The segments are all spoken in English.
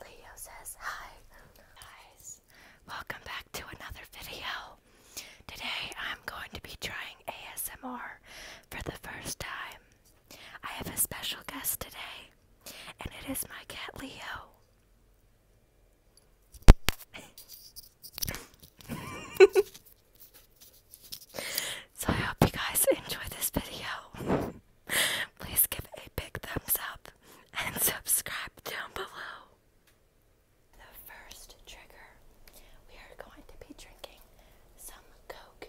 Leo says hi. Guys, welcome back to another video. Today I'm going to be trying ASMR for the first time. I have a special guest today, and it is my cat Leo. So I hope you guys enjoy this video. Please give a big thumbs up and subscribe down below. The first trigger, we are going to be drinking some Coke.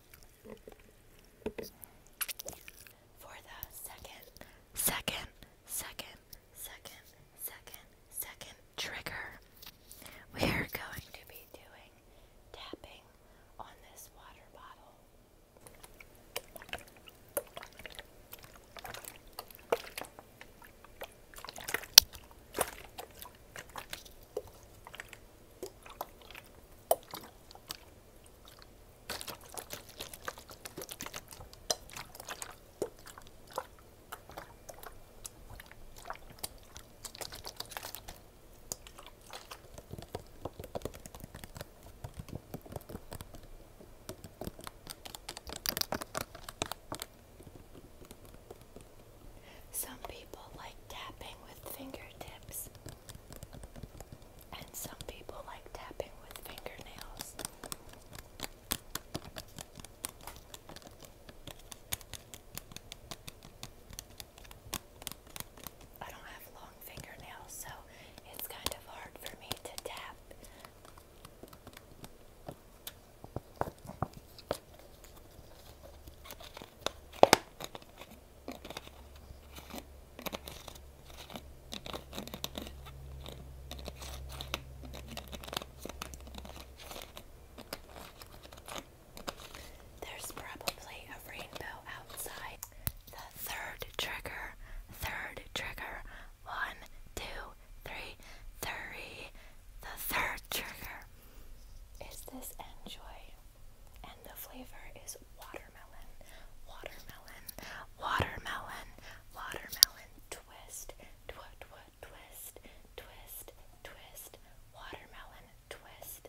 For the second, second, second, second, second, second trigger, we are going to be doing tapping on this water bottle. Some people like tapping with fingertips. And some people like tapping with fingernails. I don't have long fingernails, so it's kind of hard for me to tap. There's probably a rainbow outside. The third trigger, third trigger, one, two, three, three. The third trigger is this Enjoy, and the flavor is watermelon, watermelon, watermelon, watermelon, twist, tw tw twist, twist, twist, watermelon, twist.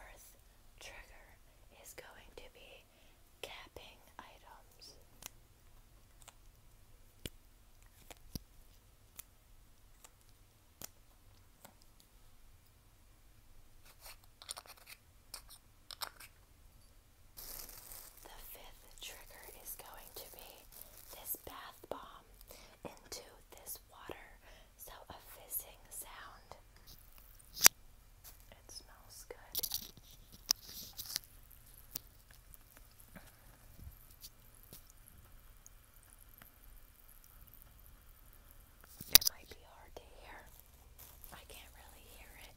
Earth trigger is going to be capping items. The fifth trigger is going to be this bath bomb into this water. So a fizzing sound. It smells good. It might be hard to hear. I can't really hear it.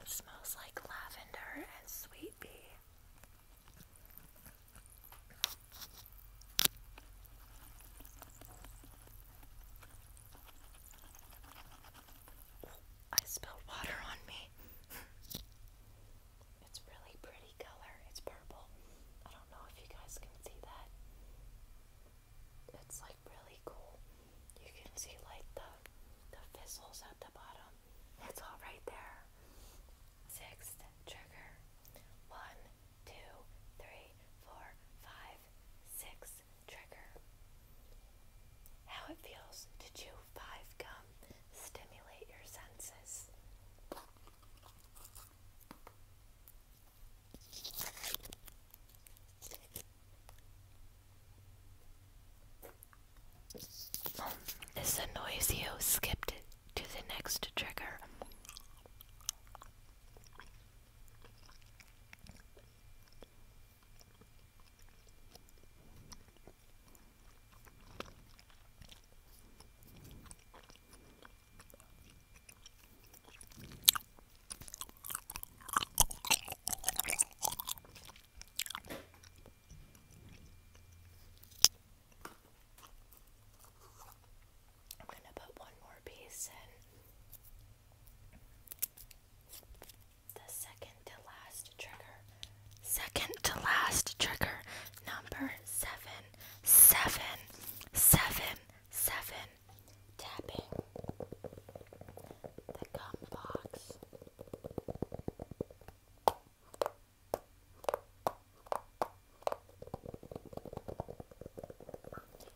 It smells like lavender and sweet pea. I spilled water on me. it's really pretty color. It's purple. I don't know if you guys can see that. It's like really cool you can see like the the fizzles at the bottom. It's all right there. Six trigger. One, two, three, four, five, six trigger. How it feels to chew five gum. Stimulate your senses. Is the noise you skipped to the next trigger. I'm going to put one more piece in. The second to last trigger. Second to last trigger. Number seven. Seven tapping the gum box.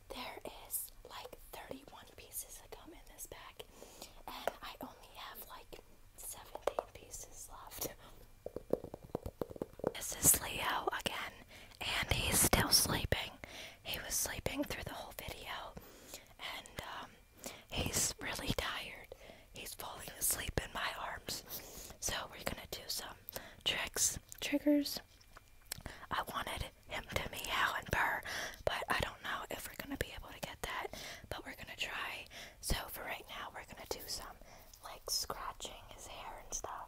There is like 31 pieces of gum in this bag, and I only have like 17 pieces left. This is Leo again, and he's still sleeping. He was sleeping through the whole video, and um, he's really tired. He's falling asleep in my arms. So, we're gonna do some tricks, triggers. I wanted him to meow and purr, but I don't know if we're gonna be able to get that, but we're gonna try. So, for right now, we're gonna do some like scratching his hair and stuff.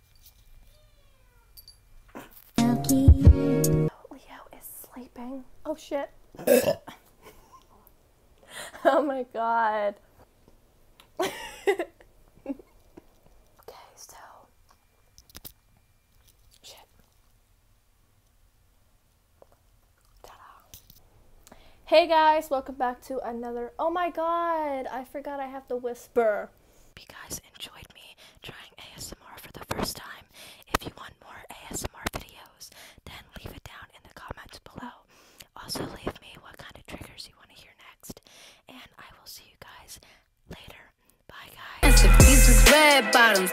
Leo is sleeping. Oh shit. oh my god. okay, so. Hey guys, welcome back to another. Oh my god, I forgot I have to whisper. If you guys enjoyed me trying ASMR for the first time, if you want more ASMR videos, then leave it down in the comments below. Also, leave me what kind of triggers you want to hear next, and I will see you guys later. Bye, guys.